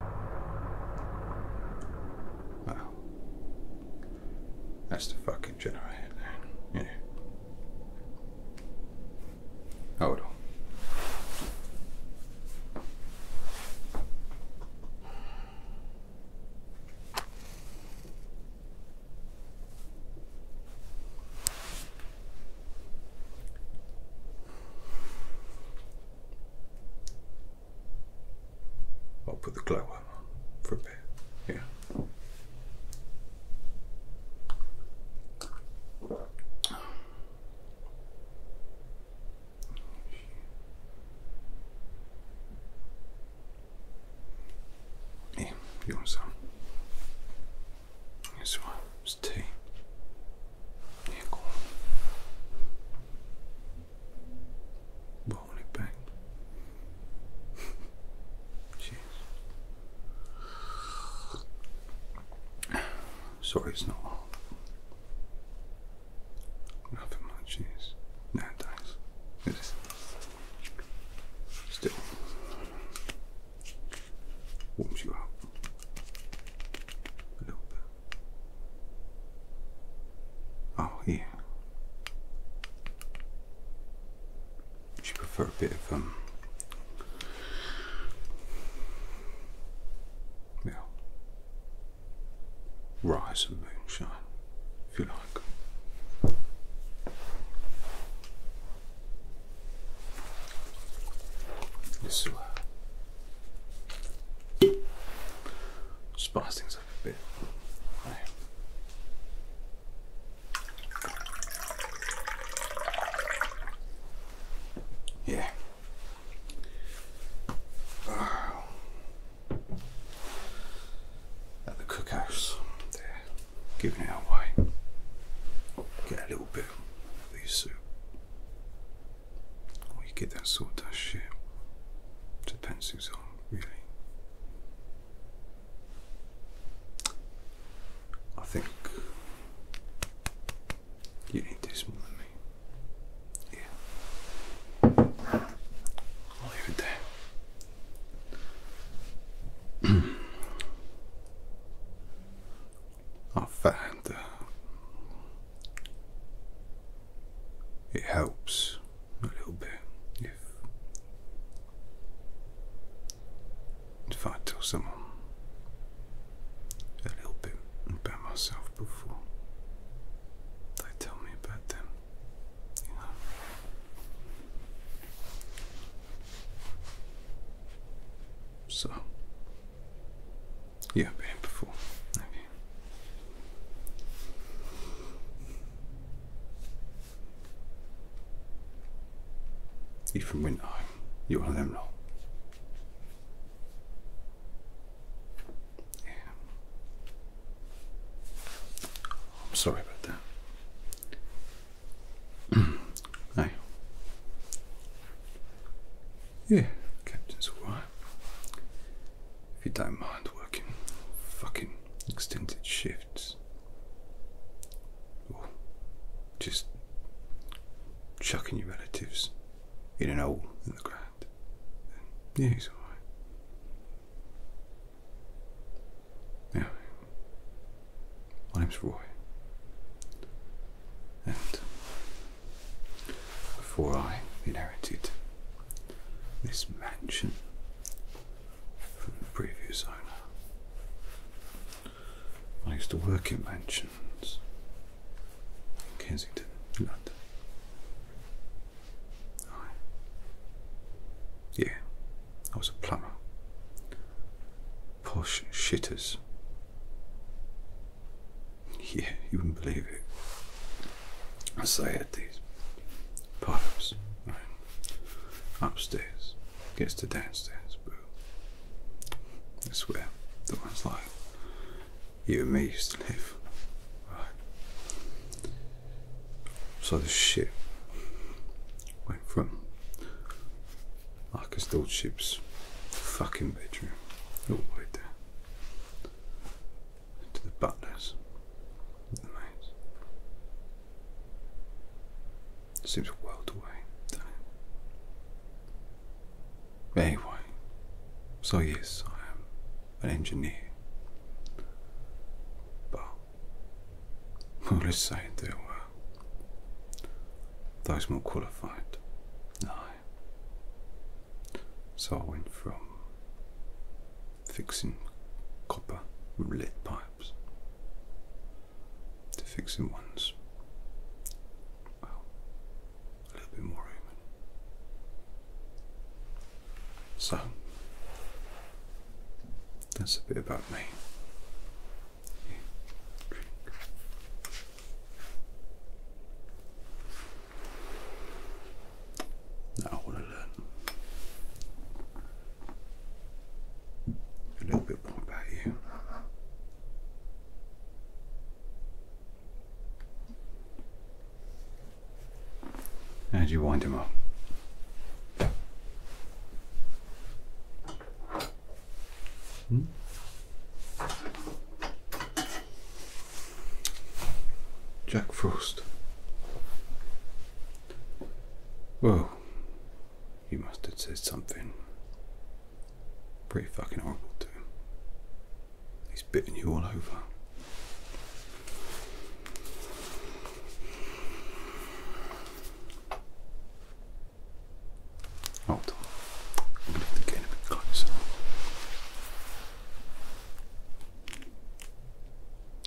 Wow. That's the fucking generator. Yeah. Hold on. I'll put the glow on for a bit. Yeah. Yeah, you want some? This one is tea aircon blowing it back. Jeez. Sorry, it's not Nothing much is nowadays. It is still warms you up a little bit. Oh, yeah. Would you prefer a bit of, um, yeah, rise and moonshine, if you like. This uh, Spice things up a bit. Yeah. At the cookhouse, there. are giving it away. Get a little bit of these soup. Oh, you get that sawdust shit to pencils on, really. I think you need this more than me. Yeah. I'll leave it there. I found uh, it helps a little bit if if I tell someone a little bit about myself before they tell me about them, So you have been before. Have you? You from Winter You're one of them lot. I'm sorry about that. no. Yeah, captain's alright. If you don't mind working fucking extended shifts, or just chucking your relatives in an old in the ground, yeah, he's alright. Anyway, my name's Roy, and before I inherited this mansion from the previous owner. I used to work in mansions in Kensington, London. yeah, I was a plumber. Posh shitters yeah, you wouldn't believe it. I say at these pipes upstairs, gets to downstairs, but I swear the ones like you and me used to live. So the ship went from like a storage ship's fucking bedroom all the way to the butlers the maids. It seems a world away, doesn't it? Anyway, so yes, I am an engineer. But, well, let's say there were those more qualified I so I went from fixing copper roulette pipes to fixing ones, well, a little bit more human. So, that's a bit about me. I want to learn a little bit more about you. How do you wind them up? Hmm? Jack Frost. Well, you must have said something pretty fucking horrible too. He's biting you all over. Hold on. get a bit closer.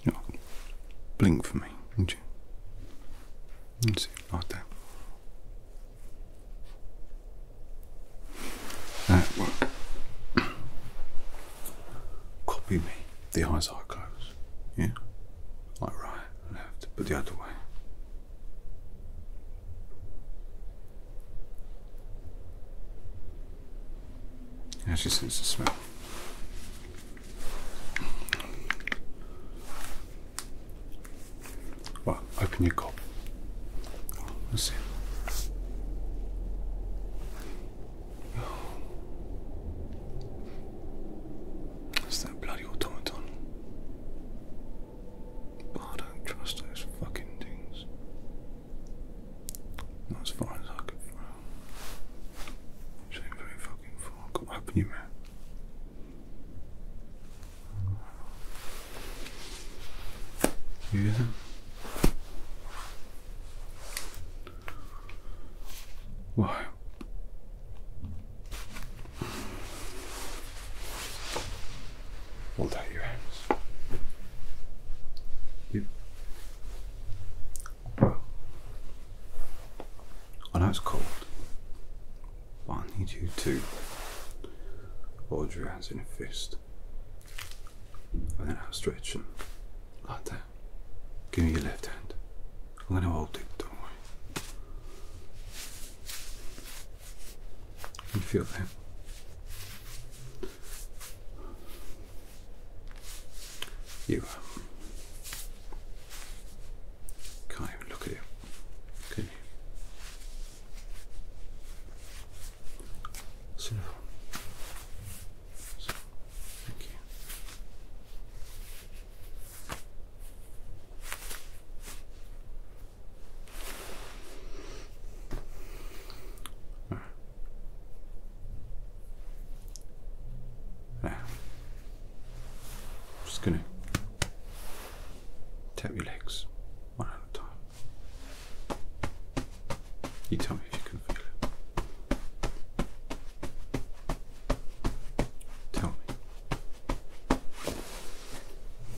Yeah. Blink for me, would you? Let's see, like that. That will copy me. The eyes are closed. Yeah? Like right, left, but the other way. Actually, sense the smell. Well, open your gob. Let's see. It's that bloody automaton. I don't trust those fucking things. Not as far as I could throw. very fucking far. Come open your mouth. Yeah. Why? Hold out your hands. You. I oh, know it's cold, but I need you to hold your hands in a fist. And then outstretch them like that. Give me your left hand. I'm going to hold it, don't worry. you feel that? You um, can't even look at you? So, so I'm just going to tap your legs one at a time. You tell me if you can feel it. Tell me.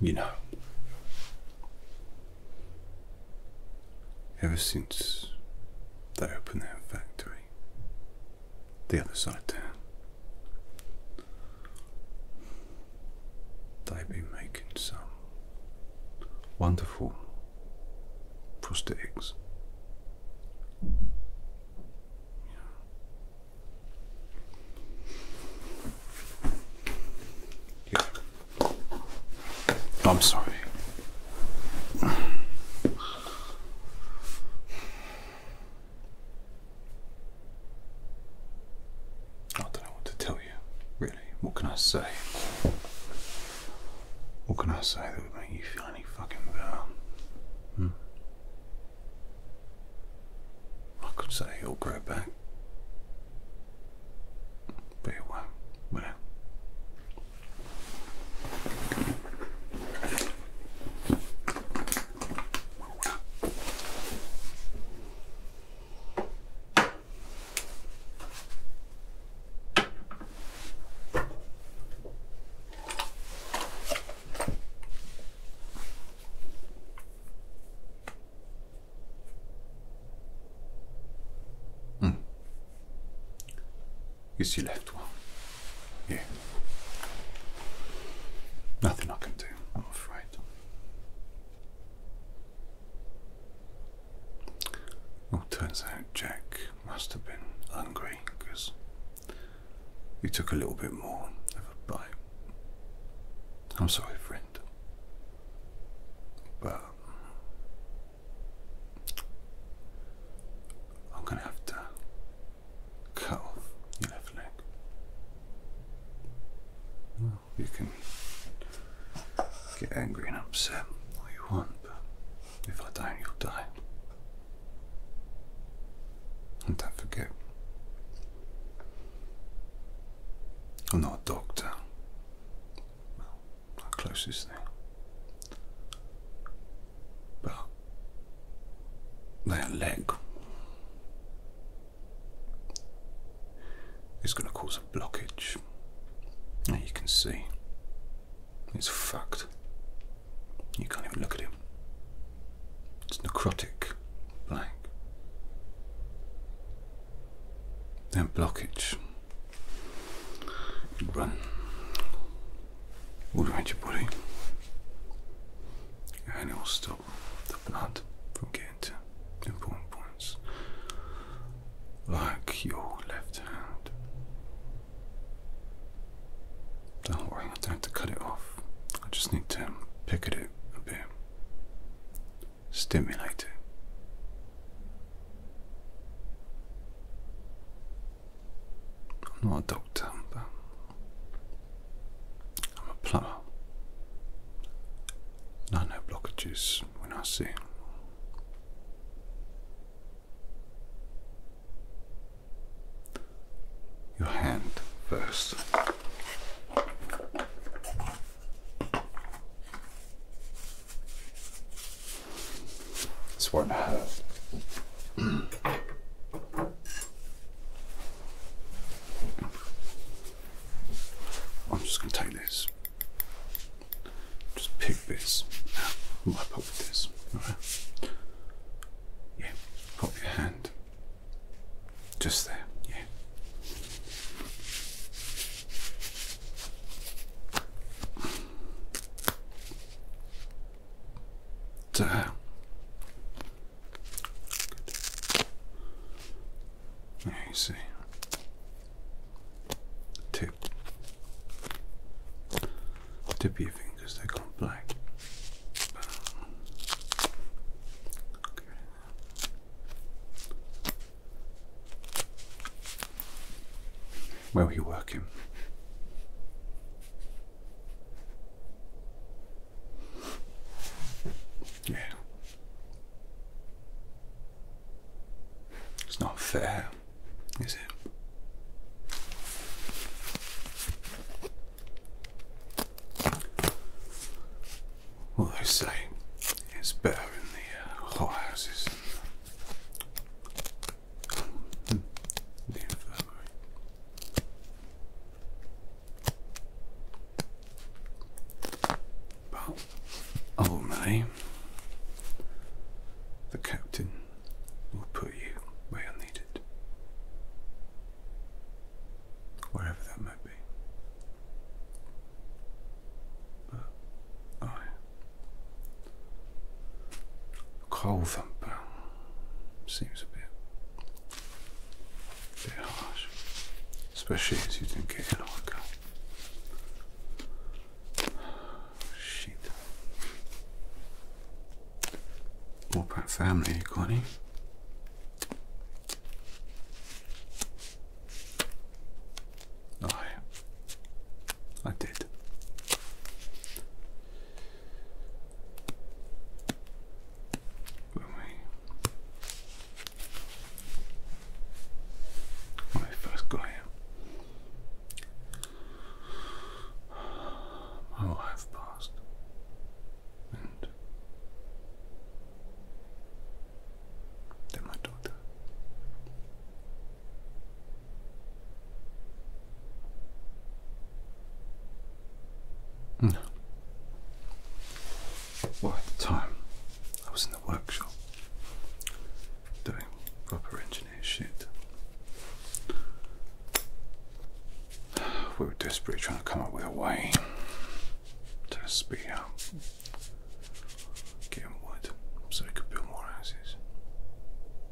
You know, ever since they opened their factory the other side of town, they've been making some wonderful prosthetics. I'm sorry. I don't know what to tell you, really. What can I say? What can I say that would make you feel any fucking better? Hmm? I could say he'll grow back, but it won't. Well. Mm. It's your left one. Yeah. Nothing I can do, I'm afraid. Well, turns out Jack must have been hungry because you took a little bit more of a bite. I'm sorry, friend. But I'm gonna have to cut off your left leg. Well, you can get angry and upset all you want, but if I don't, you'll die. And don't forget, I'm not a doctor. Well, my closest thing. But that leg is going to cause a blockage. Now you can see it's fucked. You can't even look at him. It's necrotic, black. That blockage. run all around your body, and it will stop the blood from getting to important points, like your left hand. Don't worry, I don't have to cut it off. I just need to pick at it a bit, stimulate it. I'm not a doctor, but I'm a plumber. I know blockages when I see them your hand first. This one half. I'm just going to take this. Just pick this out of my This, Yeah, pop your hand just there, yeah. There. Uh, there you see. Tip. Tip your fingers, they are gone black. Where were you working? Yeah. It's not fair, is it? What they say is better in the uh, hothouses and the infirmary. the captain will put you where you're needed wherever that might be. But I oh, coal thumper seems a bit, a bit harsh, especially as you think not get in like a sheet. All about family, Connie. I, oh, I did. When we, when first got my wife passed, than my daughter. No. at the time, I was in the workshop doing proper engineer shit we were desperately trying to come up with a way to speed up getting wood so we could build more houses.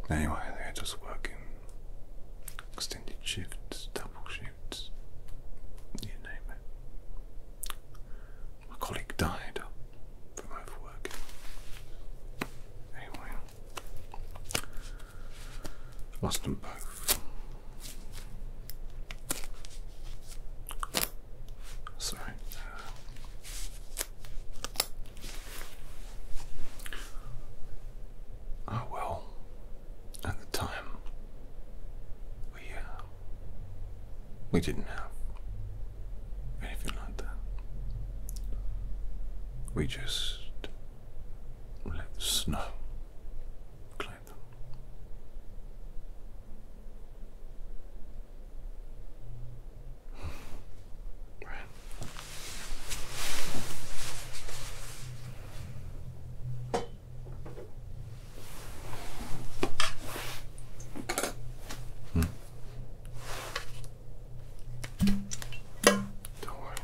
Anyway, they had just working extended shifts, double shifts, you name it. My colleague died from overwork. Anyway, lost them both. Sorry. Ah, well, at the time, we, uh, we didn't have anything like that. We just let the snow climb them. right. Hmm. Don't worry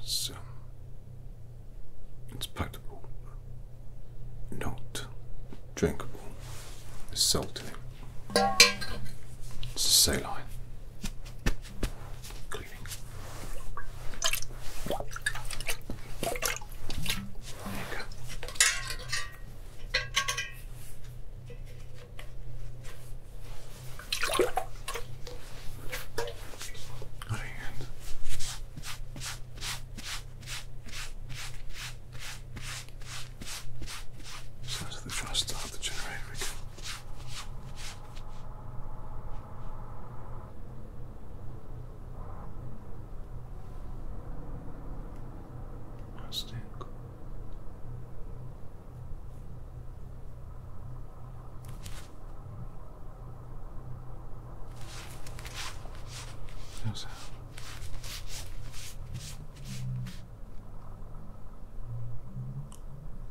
it's, um, palatable, not drinkable. It's salty. It's saline. Cleaning. There you go. Out of hand. So that's the try start the generator again. That's it. No sound.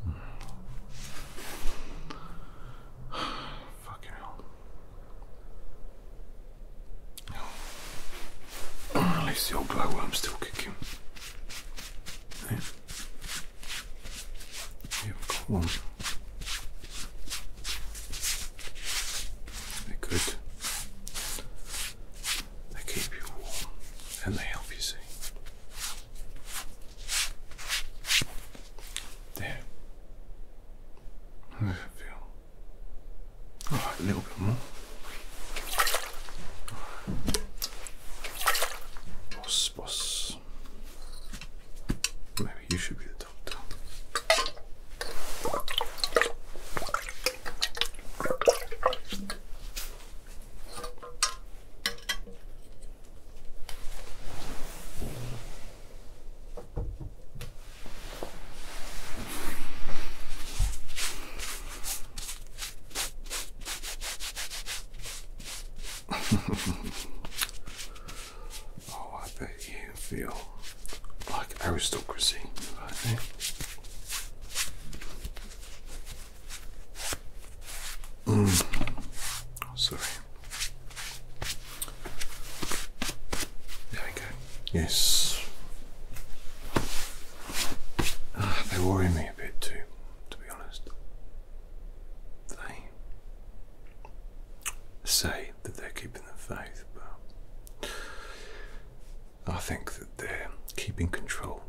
Mm. hell. at least the old glowworm's still kicking. Right. We have a column. They could. They keep you warm and they help you see. There. How does it feel? a little bit more. Boss, boss. Maybe you should be the doctor. oh, I bet you feel like aristocracy mm. oh, sorry. There we go. Yes. Ah, they worry me a bit too to be honest. They say that they're keeping the faith, but I think that they're keeping control.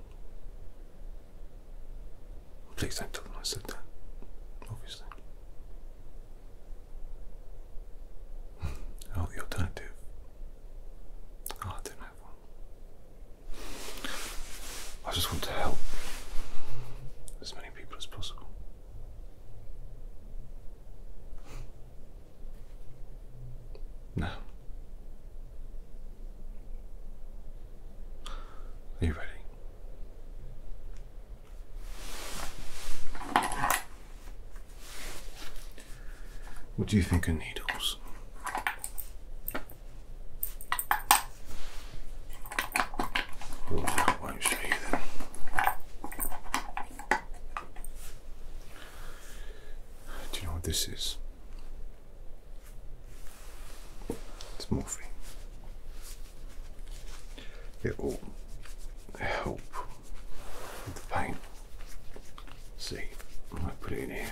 Please don't tell them I said that, obviously. oh, the alternative. Ah, I don't have one. I just want to help as many people as possible. Now, are you ready? What do you think of needles? I won't show Do you know what this is? It's morphine. It will help with the pain. See, I might put it in here.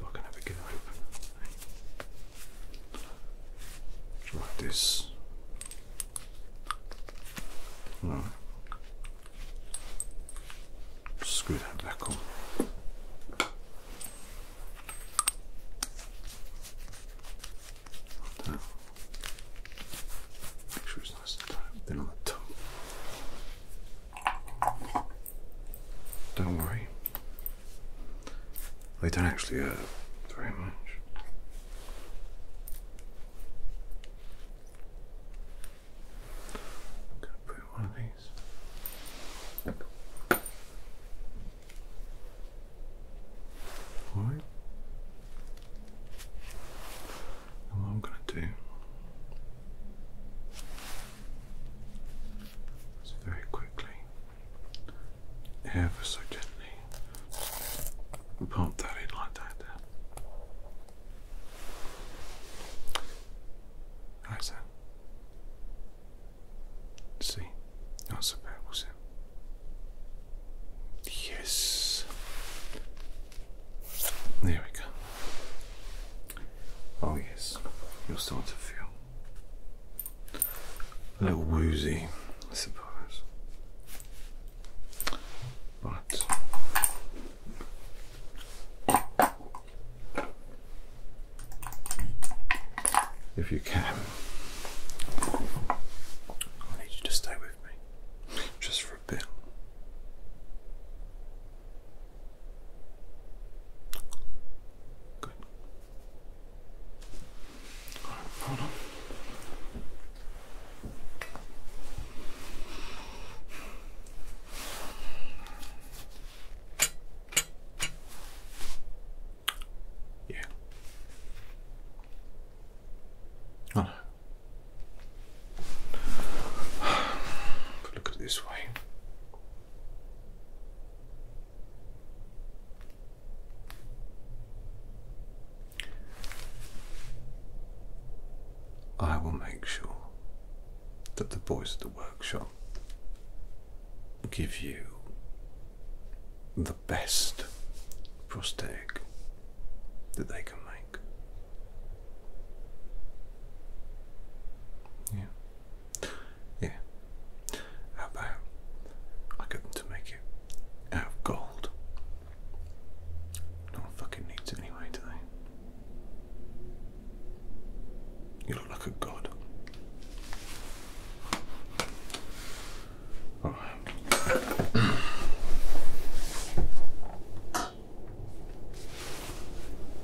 I can have a good Like this. Screw that back on. Make sure it's nice and tight. Then on the top. Don't worry. They don't actually hurt very much. i to put one of these. Alright. And what i going to do so very quickly, ever so gently, pop that in like that. Right, sir. See, not so bad, was it? Yes. There we go. Oh, yes, you'll start to feel a little woozy, I suppose. But if you can, I need you to stay with me just for a bit. Good. All right, hold on. Yeah. Oh. Look at this way. I will make sure that the boys at the workshop give you the best prosthetic that they can make. Yeah. Yeah. How about I get them to make it out of gold? No one fucking needs anyway, do they? You look like a god. Alright.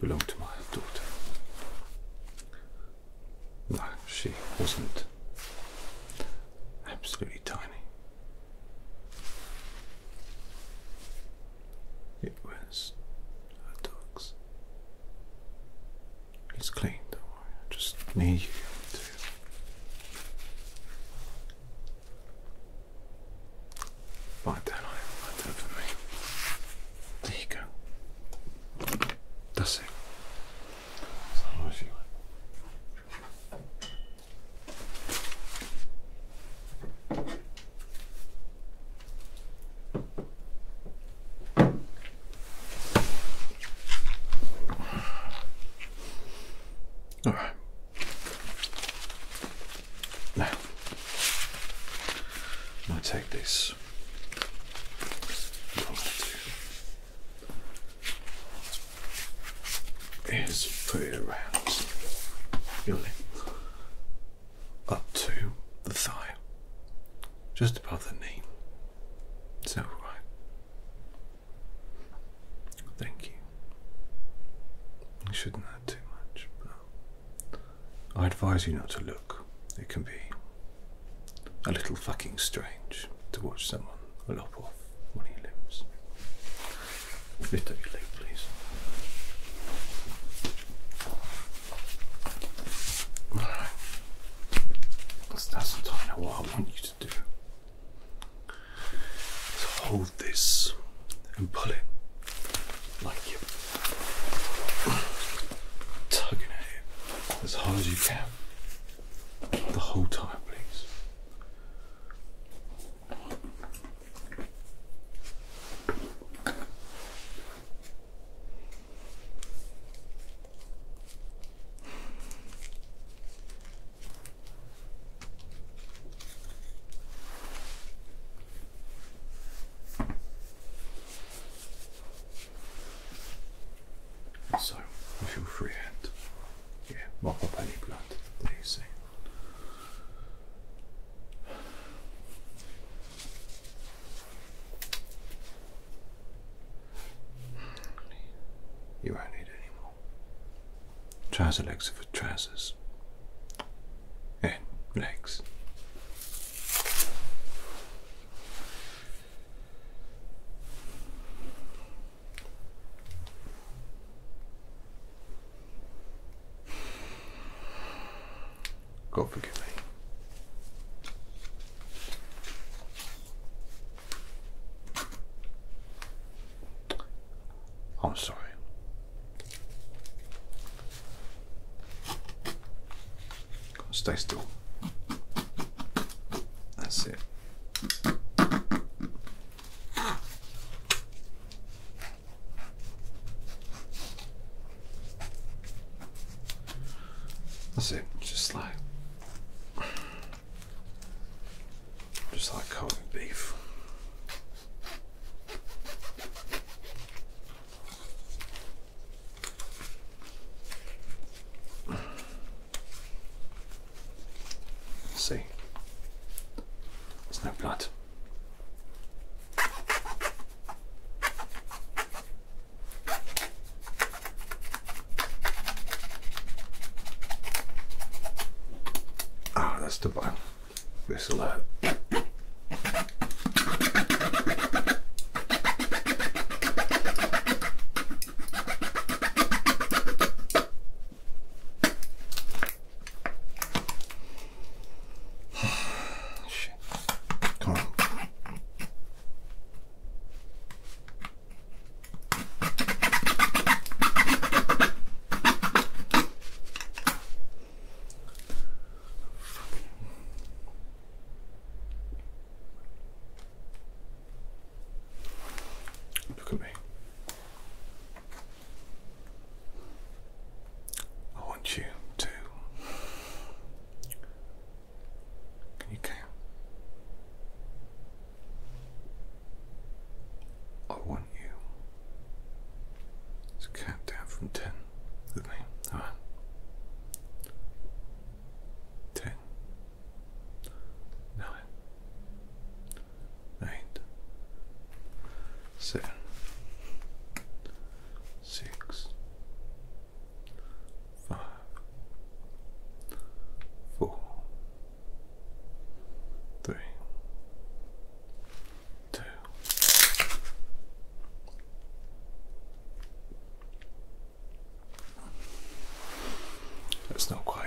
belonged to my daughter. No, she wasn't absolutely tiny. It was her dog's. It's clean, don't worry. I just need you to Right then, I have for me. There you go. That's it. All right. Now, I take this. What I'm is put it around up to the thigh, just above the knee. So right. Thank you. You should know too much, I advise you not to look. It can be a little fucking strange to watch someone lop off one of your limbs. Lift up your leg, please. Alright. That's, not the time What I want you to do hold this and pull it like you tugging at it as hard as you can the whole time, please. So, with your free hand, yeah, mop up any blood that you see. You won't need any more trouser legs for trousers. Yeah, legs. God forgive me. I'm sorry. Stay still. That's it. That's it, just like just like cold beef. See, there's no blood. Ah, oh, that's the bone whistle out. Shit. Come on. Look at me. I want you to. Can you count? I want want you to count down from ten with me. Alright. Ten. Nine. Eight. Seven. Six. Five. Four. Three. That's not quite.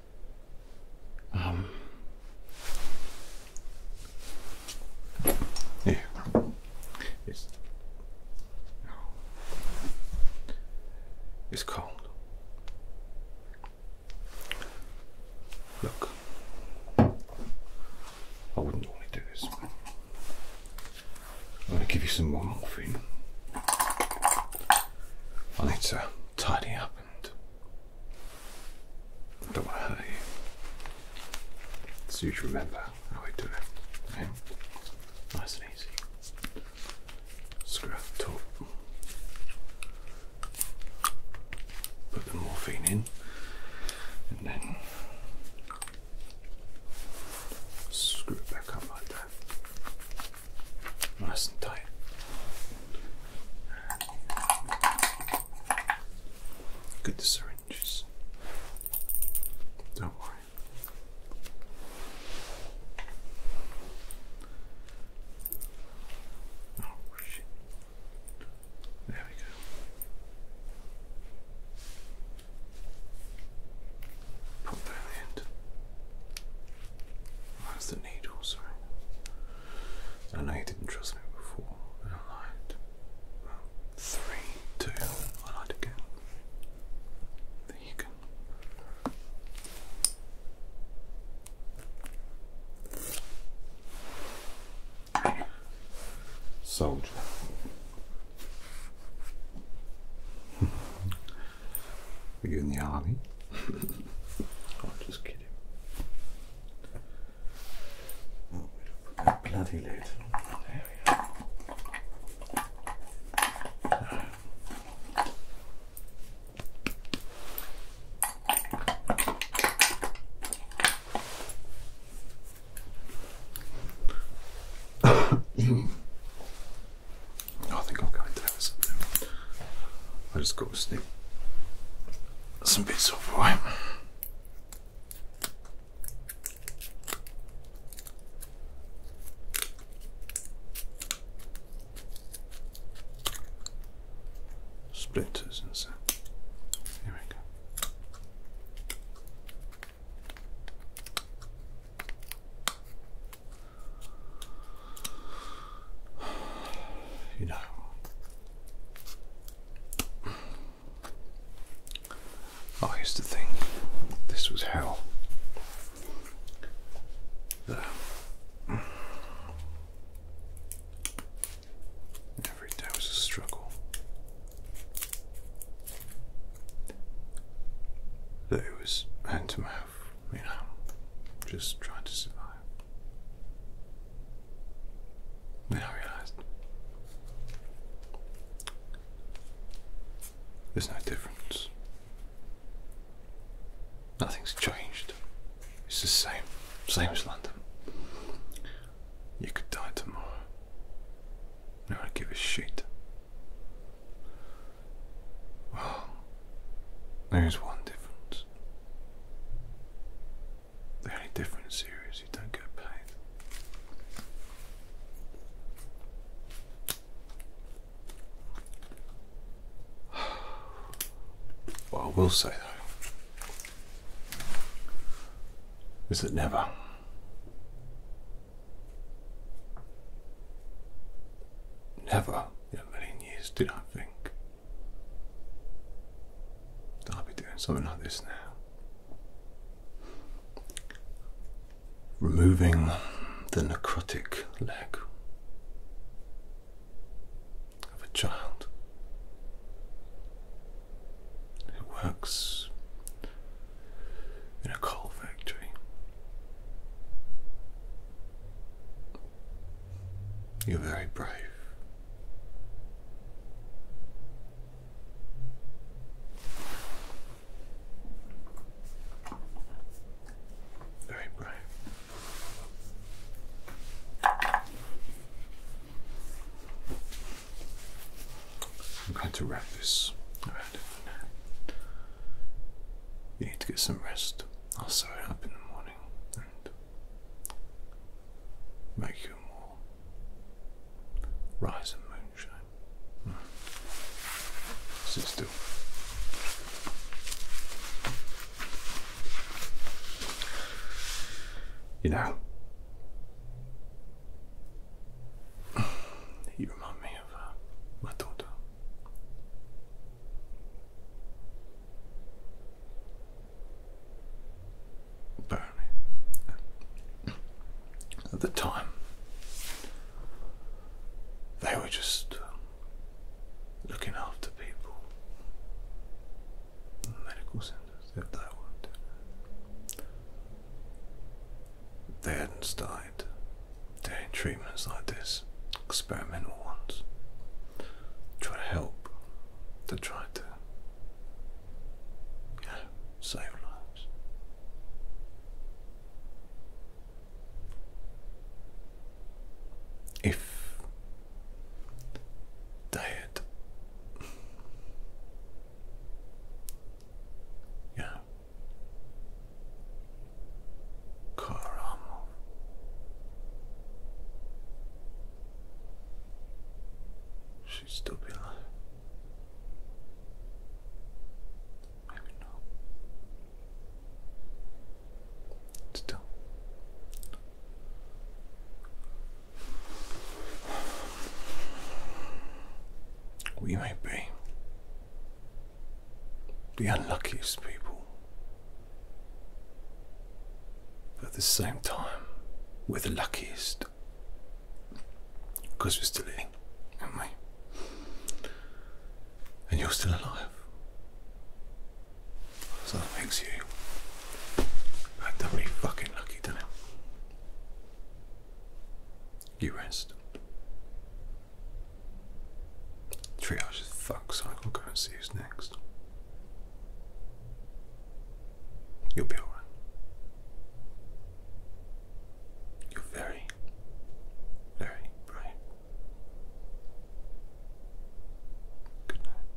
Um, yeah, it's it's cold. Look, I wouldn't want to do this. I'm going to give you some more morphine. I need to tidy up and don't want to hurt you. So you remember how I do it. Okay? Nice and easy. Screw up the Put the morphine in and then screw it back up like that. Nice and tight. Good syringes. Don't worry. Oh, there we go. Put that in. That's the needles, I know you didn't trust me before, I lied. three, two, I lied again. There you go. Soldier. Are you in the army? I'm just kidding. Oh, bloody lid. I think I'll go into that or something. I just got to sneak some bits off, right? Splinters and so. Here we go. you know. I oh, used to think This was hell. the every day was a struggle. That it was hand to mouth, you know, just trying to survive. Then I realized there's no difference. Nothing's changed. It's the same, same as London. You could die tomorrow. I don't give a shit. Well, there is one difference. The only difference series you don't get paid. What I will say though is that never, never in a years did I think I'll be doing something like this now. Removing the necrotic leg of a child who works in a coal factory. You're very brave. Very brave. I'm going to wrap this around You need to get some rest. I'll sew it up in the morning and make you more rise and moonshine. Mm. Sit You know, you remind me of uh, my daughter. Barney. At the time, they were just um, looking after people. Medical centers, if they were They hadn't started doing treatments like this, experimental general Try to help. To try to, you save lives. If diet, had, you she still be alive. Maybe not. Still. We may be the unluckiest people at the same time, we're the luckiest because we're still eating, aren't we? And you're still alive. So that makes you like doubly fucking lucky, doesn't it? You rest. Triage is fuck, so I can go and see who's next. You'll be alright. You're very, very bright. Good night.